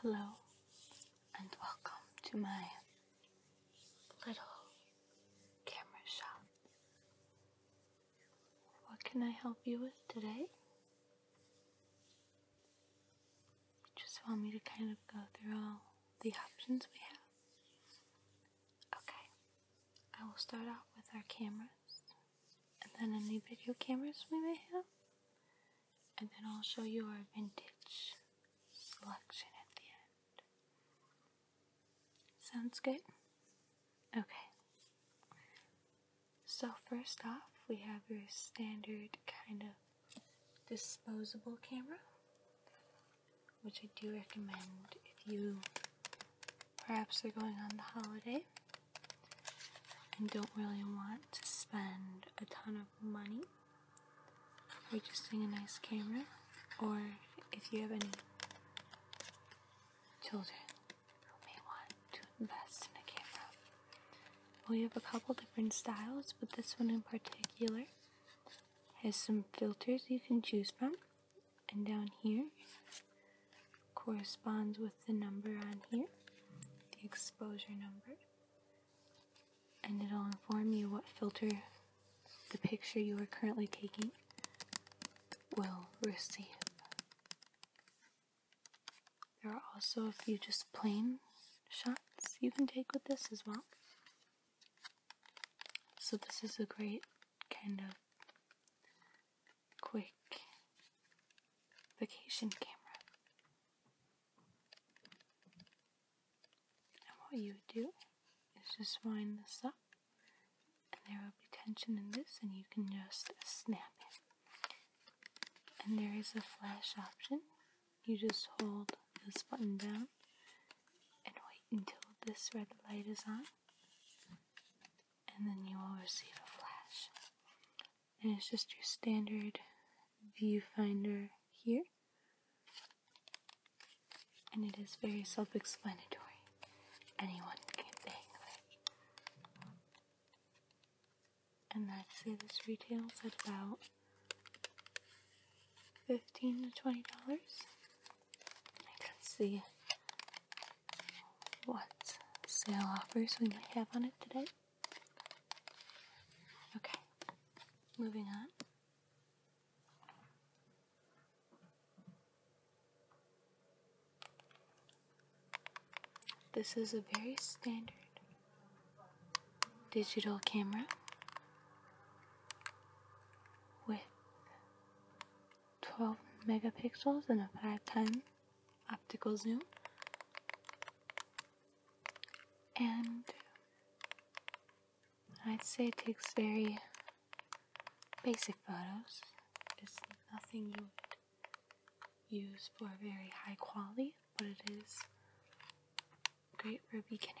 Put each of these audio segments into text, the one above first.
Hello, and welcome to my little camera shop. What can I help you with today? You just want me to kind of go through all the options we have? Okay, I will start off with our cameras and then any video cameras we may have and then I'll show you our vintage selection at the end. Sounds good? Okay. So, first off, we have your standard kind of disposable camera, which I do recommend if you perhaps are going on the holiday and don't really want to spend a ton of money purchasing a nice camera, or if you have any children who may want to invest in a camera. Well, you have a couple different styles, but this one in particular has some filters you can choose from, and down here corresponds with the number on here, the exposure number, and it'll inform you what filter the picture you are currently taking will receive. There are also if you just plain shots you can take with this as well. So, this is a great kind of quick vacation camera. And what you would do is just wind this up, and there will be tension in this, and you can just snap it. And there is a flash option. You just hold this button down and wait until this red light is on, and then you will receive a flash and it's just your standard viewfinder here. And it is very self explanatory. Anyone can bang And I'd say this retails at about fifteen to twenty dollars. Let's see what sale offers we have on it today. Okay, moving on. This is a very standard digital camera with 12 megapixels and a 5 optical zoom and I'd say it takes very basic photos. It's nothing you would use for very high quality, but it is great for a beginner.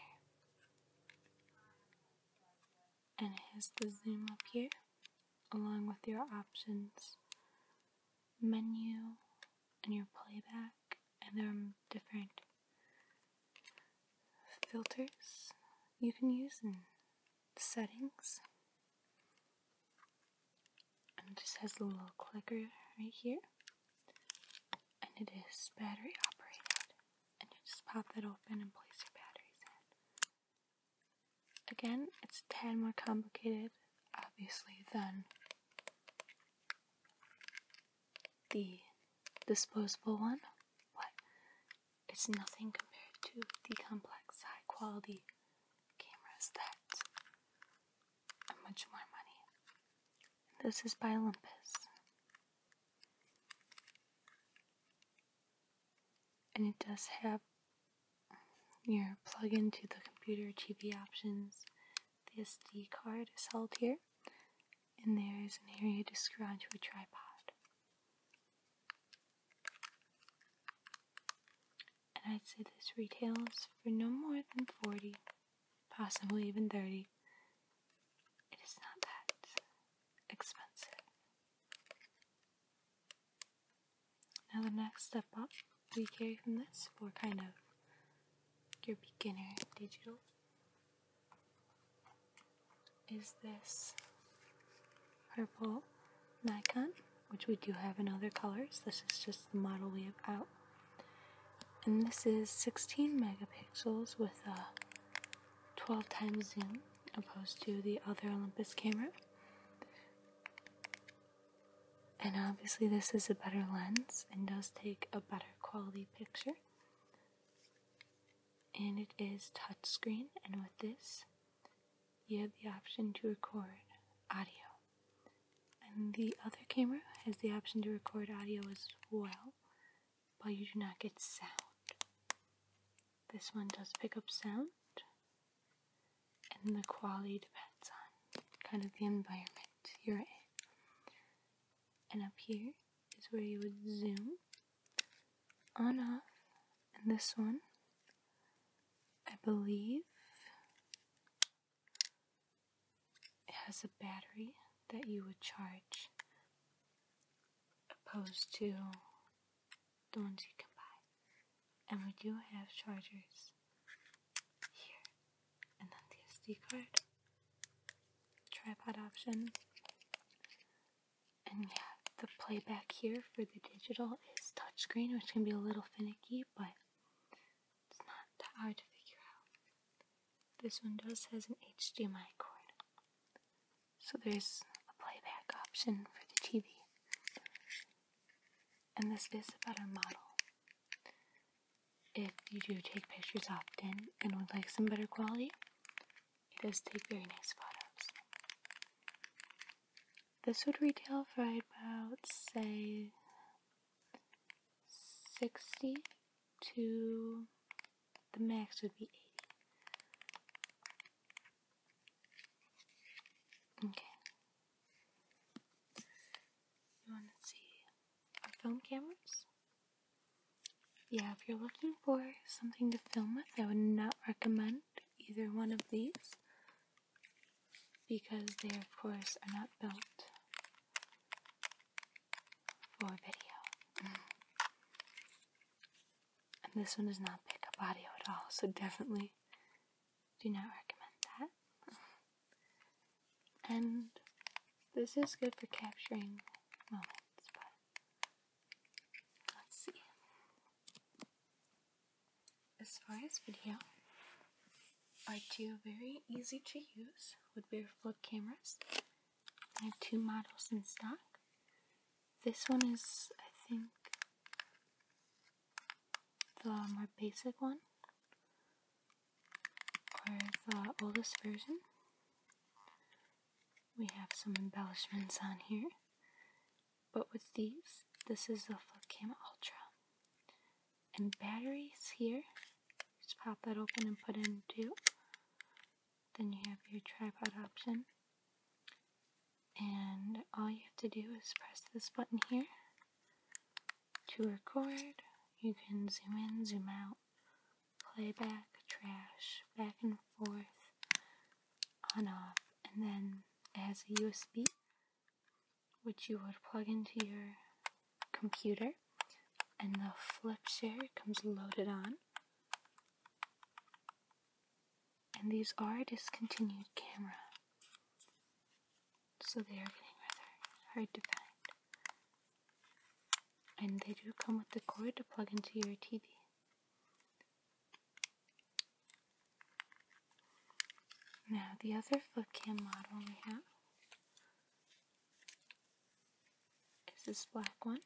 And it has the zoom up here along with your options menu and your playback, and there are different filters you can use in settings. And it just has a little clicker right here. And it is battery operated. And you just pop that open and place your batteries in. Again, it's ten more complicated, obviously, than the disposable one, but it's nothing compared to the complex, high quality cameras that are much more money. this is by Olympus. And it does have your plug into the computer TV options. The SD card is held here, and there is an area to scrounge for a tripod. And I'd say this retails for no more than 40, possibly even 30. It is not that expensive. Now, the next step up we carry from this for kind of your beginner digital is this purple Nikon, which we do have in other colors. This is just the model we have out. And this is 16 megapixels with a 12 times zoom opposed to the other Olympus camera. And obviously, this is a better lens and does take a better quality picture. And it is touchscreen, and with this, you have the option to record audio. And the other camera has the option to record audio as well, but you do not get sound. This one does pick up sound, and the quality depends on kind of the environment you're in. And up here is where you would zoom on off, and this one, I believe, has a battery that you would charge opposed to the ones you can buy. And we do have chargers here. And then the SD card, tripod option, and yeah, the playback here for the digital is touchscreen, which can be a little finicky, but it's not that hard to figure out. This one does has an HDMI cord, so there's a playback option for the TV. And this is a better model. If you do take pictures often and would like some better quality, it does take very nice photos. This would retail for about, say, 60 to the max would be 80. Okay. You want to see our film cameras? Yeah, if you're looking for something to film with, I would not recommend either one of these because they, of course, are not built for video. And this one does not pick up audio at all, so definitely do not recommend that. And this is good for capturing moments, but let's see. As far as video, are two very easy to use would be flip cameras. I have two models in stock. This one is, I think, the more basic one or the oldest version. We have some embellishments on here, but with these, this is the Flip Cam Ultra. And batteries here, just pop that open and put in two. Then you have your tripod option and all you have to do is press this button here to record. You can zoom in, zoom out, playback, trash, back and forth, on off, and then it has a USB which you would plug into your computer and the FlipShare comes loaded on and these are discontinued camera, so they are getting rather hard to find. And they do come with the cord to plug into your TV. Now, the other flip cam model we have is this black one.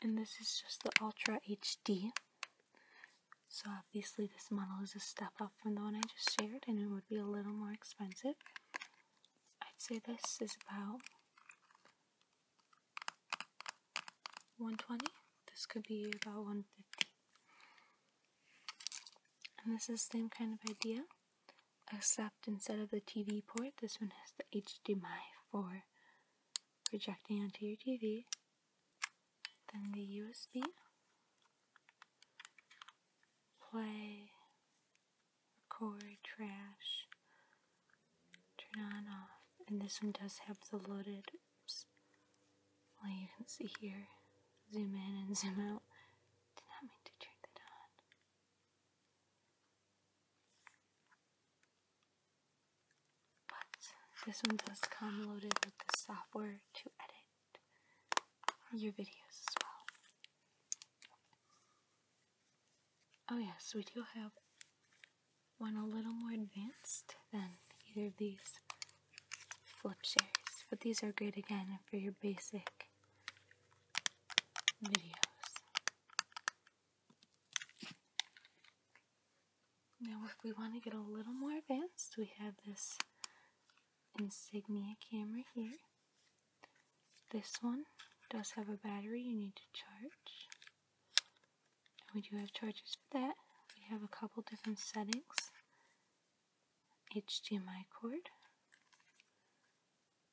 And this is just the Ultra HD. So obviously this model is a step up from the one I just shared and it would be a little more expensive. I'd say this is about 120. This could be about 150. And this is same kind of idea, except instead of the TV port, this one has the HDMI for projecting onto your TV. Then the USB play, record, trash, turn on off, and this one does have the loaded. Oops. Well, you can see here, zoom in and zoom out. Did not mean to turn that on. But this one does come loaded with the software to edit your videos as well. Oh, yes, we do have one a little more advanced than either of these FlipShares, but these are great again for your basic videos. Now, if we want to get a little more advanced, we have this insignia camera here. This one does have a battery you need to charge. we do have chargers for that. We have a couple different settings. HDMI cord,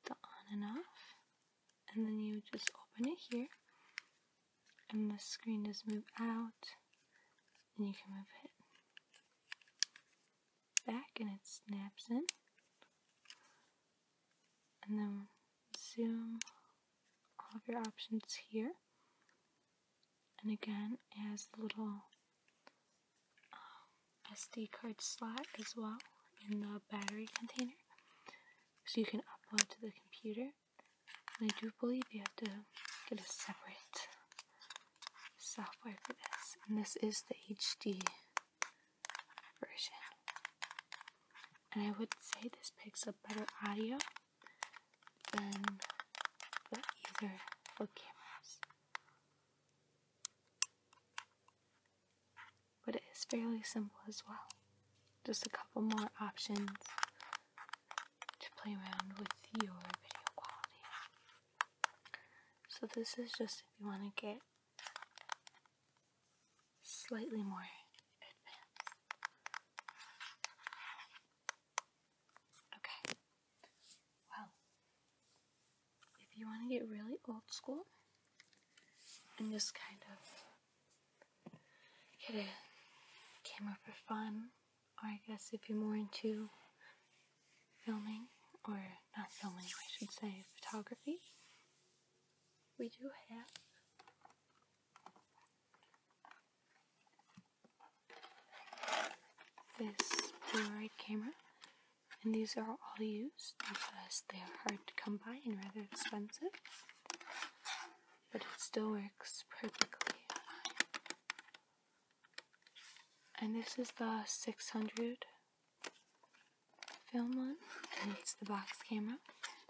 the on and off, and then you just open it here and the screen just move out and you can move it back and it snaps in and then zoom all of your options here and again it has a little um, SD card slot as well in the battery container so you can upload to the computer I do believe you have to get a separate software for this. And this is the HD version. And I would say this picks up better audio than the other for cameras. But it is fairly simple as well just a couple more options to play around with your video quality. So, this is just if you want to get slightly more advanced. Okay, well, if you want to get really old school and just kind of get a camera for fun, or I guess if you're more into filming, or not filming, I should say, photography, we do have. This Polaroid camera, and these are all used because they are hard to come by and rather expensive but it still works perfectly. And this is the 600 film one, and it's the box camera.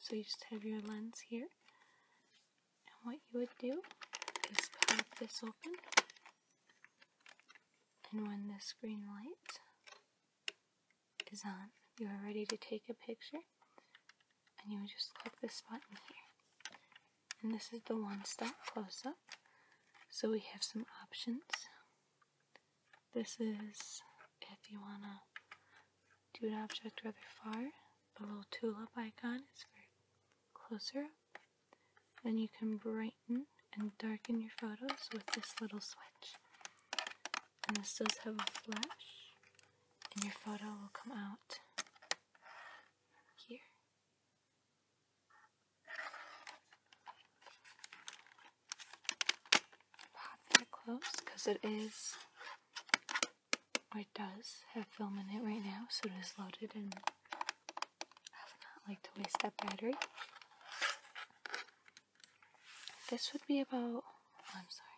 So you just have your lens here, and what you would do is pop this open, and when the screen lights, is on, you are ready to take a picture, and you would just click this button here. And this is the one stop close up. So we have some options. This is if you want to do an object rather far, the little tulip icon is for closer up. Then you can brighten and darken your photos with this little switch. And this does have a flash, and your photo will come out here. Pop that close because it is, or it does have film in it right now, so it is loaded and I would not like to waste that battery. This would be about, I'm sorry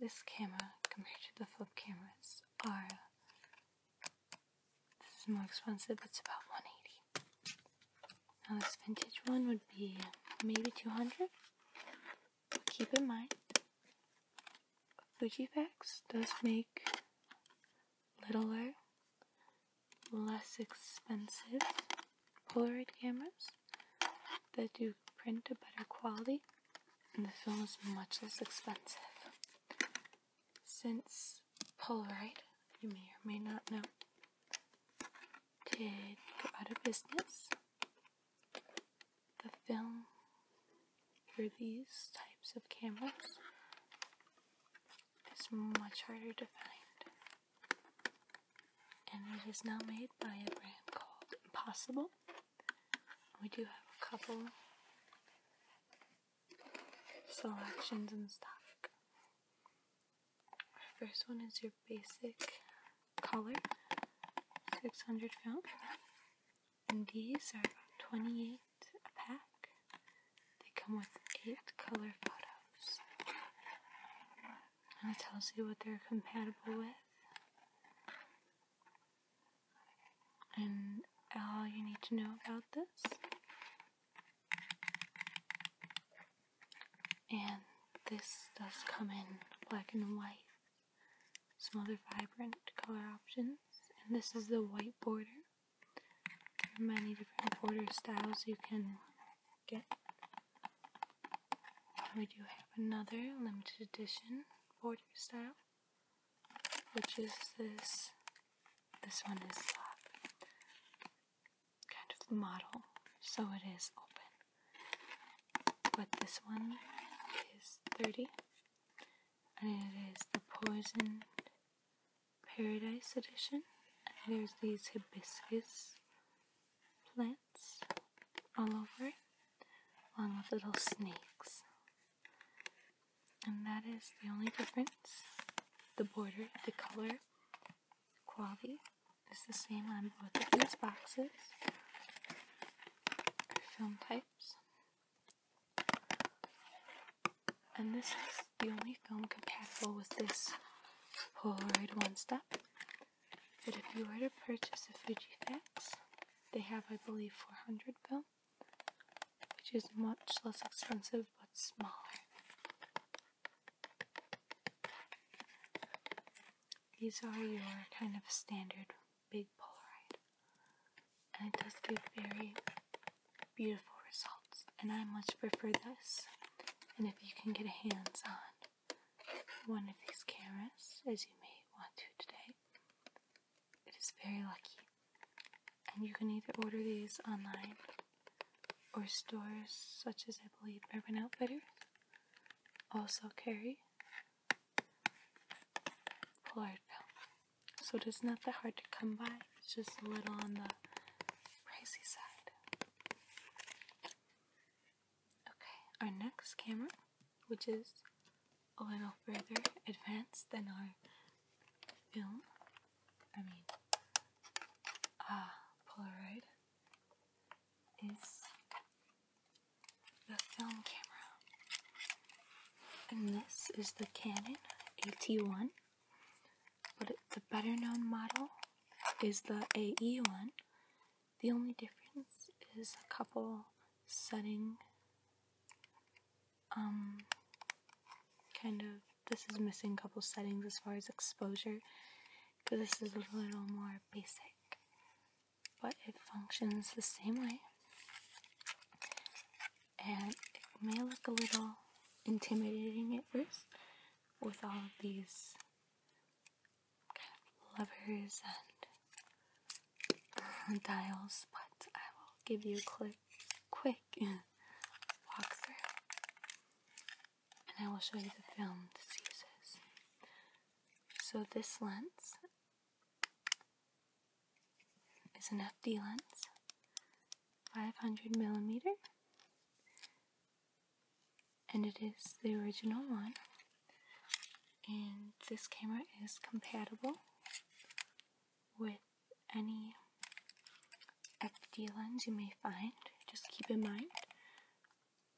this camera compared to the flip cameras are this is more expensive, it's about 180 Now this vintage one would be maybe 200 but Keep in mind, Fuji Fujiflex does make littler, less expensive Polaroid cameras that do print a better quality, and the film is much less expensive. Since Polaroid, you may or may not know, did go out of business, the film for these types of cameras is much harder to find and it is now made by a brand called Impossible. We do have a couple selections in stock. Our first one is your basic color, 600 film, and these are about 28 a pack. They come with 8 color photos, and it tells you what they're compatible with and all you need to know about this. And this does come in black and white, some other vibrant color options. And this is the white border. There are many different border styles you can get we do have another limited edition border style, which is this. This one is uh, kind of model, so it is open. But this one is 30, and it is the Poison Paradise Edition. there's these hibiscus plants all over it, along with little snakes. And that is the only difference. The border, the color quality is the same on both of these boxes. Film types. And this is the only film compatible with this Polaroid One Step. But if you were to purchase a Fujifilm, they have, I believe, 400 film, which is much less expensive but smaller. These are your kind of standard big Polaroid, and it does give very beautiful results. And I much prefer this. And if you can get hands on one of these cameras, as you may want to today. It is very lucky, and you can either order these online or stores such as I believe Urban Outfitters also carry Polaroid So it is not that hard to come by, it's just a little on the pricey side. Okay, our next camera, which is a little further advanced than our film, I mean, uh, Polaroid, is the film camera. And this is the Canon AT1, but the better known model is the AE1, the only difference is a couple setting um kind of this is missing a couple settings as far as exposure because this is a little more basic but it functions the same way and it may look a little intimidating at first with all of these Lovers and uh, dials, but I will give you a quick, quick walkthrough. And I will show you the film So this lens is an FD lens, 500 millimeter, and it is the original one and this camera is compatible with any FD lens you may find. Just keep in mind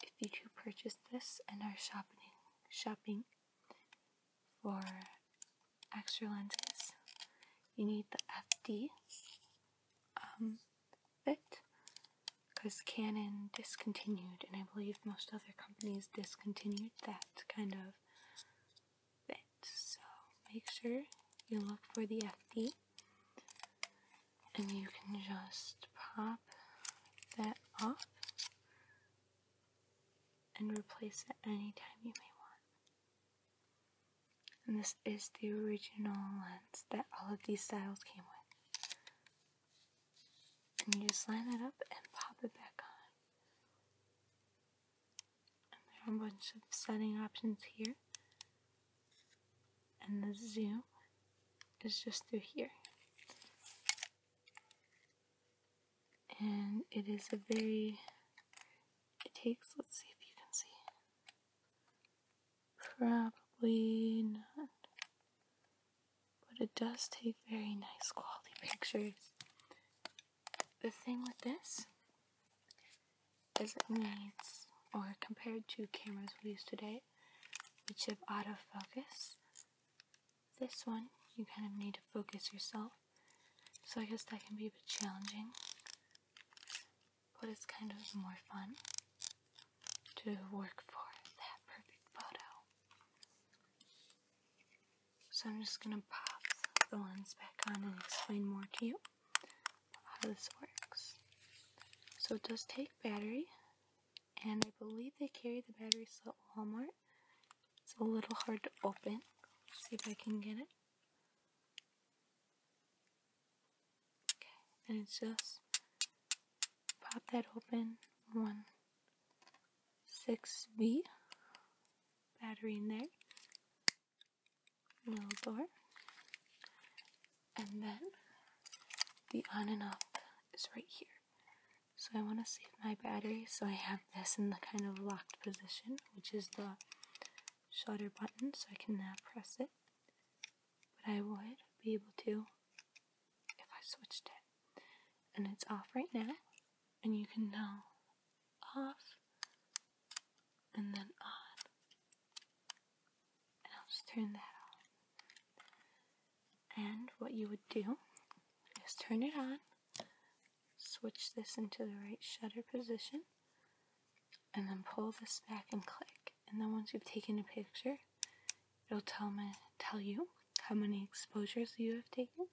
if you do purchase this and are shopping shopping for extra lenses, you need the FD um, it, because Canon discontinued, and I believe most other companies discontinued that kind of fit. So make sure you look for the FD and you can just pop that off and replace it anytime you may want. And this is the original lens that all of these styles came with. And you just line it up and pop it back on. And there are a bunch of setting options here. And the zoom is just through here. And it is a very, it takes, let's see if you can see, Probably not. But it does take very nice quality pictures. The thing with this is it needs, or compared to cameras we use today, which have focus, this one you kind of need to focus yourself. So I guess that can be a bit challenging but it's kind of more fun to work for that perfect photo. So I'm just gonna pop the lens back on and explain more to you how this works. So it does take battery, and I believe they carry the battery at Walmart. It's a little hard to open. see if I can get it. Okay, and it's just pop that open one 6B battery in there, little door, and then the on and off is right here. So I want to save my battery, so I have this in the kind of locked position, which is the shutter button, so I can now press it but I would be able to if I switched it. And it's off right now, and you can know off and then on. And I'll just turn that off. And what you would do is turn it on, switch this into the right shutter position, and then pull this back and click. And then once you've taken a picture, it'll tell me tell you how many exposures you have taken.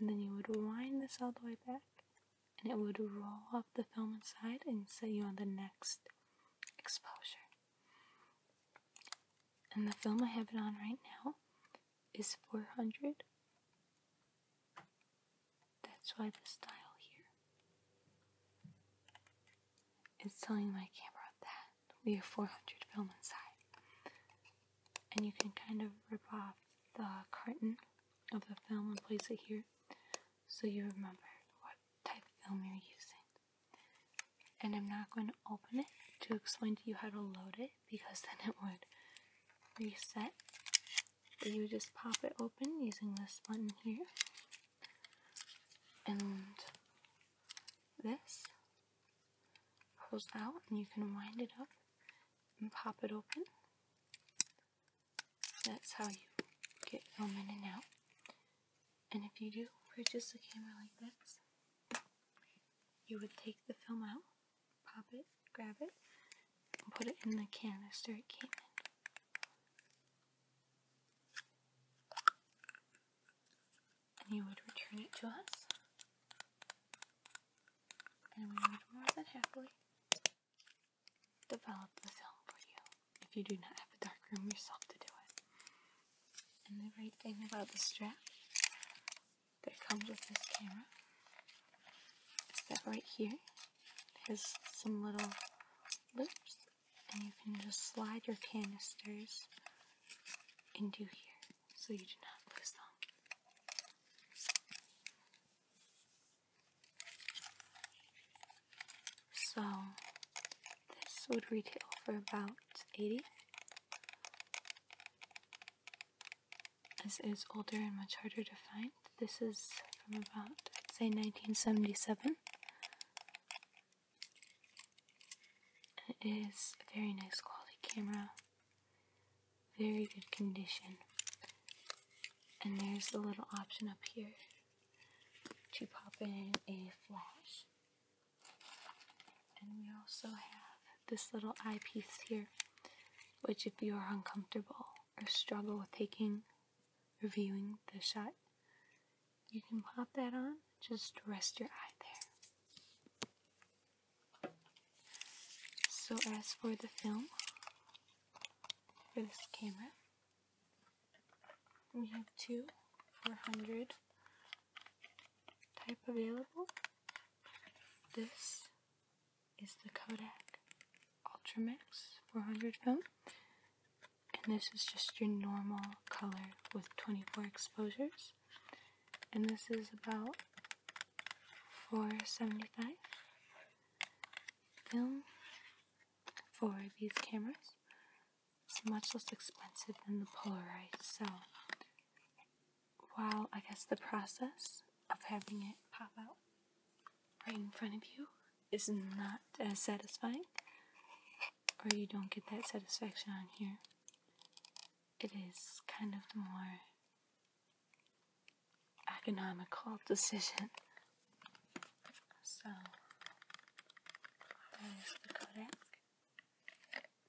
And then you would wind this all the way back and it would roll off the film inside and set you on the next exposure. And the film I have it on right now is 400. That's why the style here. It's telling my camera that we have 400 film inside. And you can kind of rip off the carton of the film and place it here so you remember what type of film you're using. And I'm not going to open it to explain to you how to load it because then it would reset. you just pop it open using this button here and this pulls out and you can wind it up and pop it open. That's how you get film in and out. And if you do purchase a camera like this, you would take the film out, pop it, grab it, and put it in the canister it came in and you would return it to us, and we would more than happily develop the film for you if you do not have a dark room yourself to do it. And the great thing about the strap that comes with this camera is that right here has some little loops and you can just slide your canisters into here so you do not lose them. So this would retail for about 80. This is older and much harder to find. This is from about, say, 1977. It is a very nice quality camera, very good condition. And there's the little option up here to pop in a flash. And we also have this little eyepiece here, which, if you are uncomfortable or struggle with taking reviewing the shot, you can pop that on, just rest your eye there. So as for the film, for this camera, we have two 400 type available. This is the Kodak Ultramax 400 film and this is just your normal color with 24 exposures and this is about 475 film for these cameras it's much less expensive than the Polaroid so while I guess the process of having it pop out right in front of you is not as satisfying, or you don't get that satisfaction on here, it is kind of the more economical decision. So,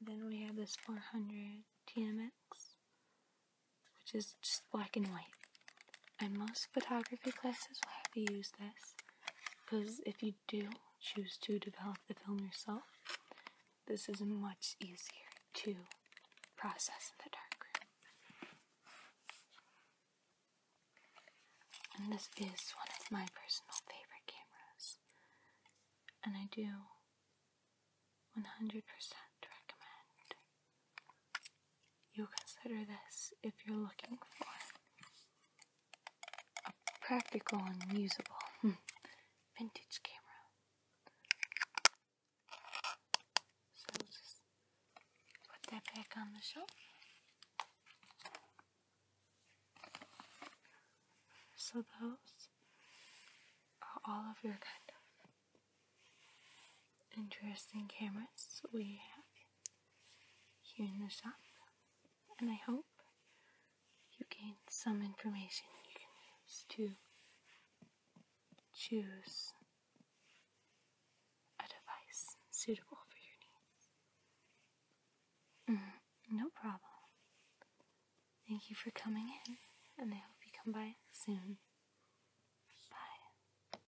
Then we have this 400 TMX, which is just black and white and most photography classes will have you use this because if you do choose to develop the film yourself, this is much easier to process in the darkroom. And this is one of my personal favorite cameras, and I do 100% recommend You'll consider this if you're looking for a practical and usable hmm, vintage camera. So just put that back on the shelf. So those are all of your kind of interesting cameras we have Hearing this up, and I hope you gain some information you can use to choose a device suitable for your needs. Mm, no problem. Thank you for coming in, and I hope you come by soon. Bye.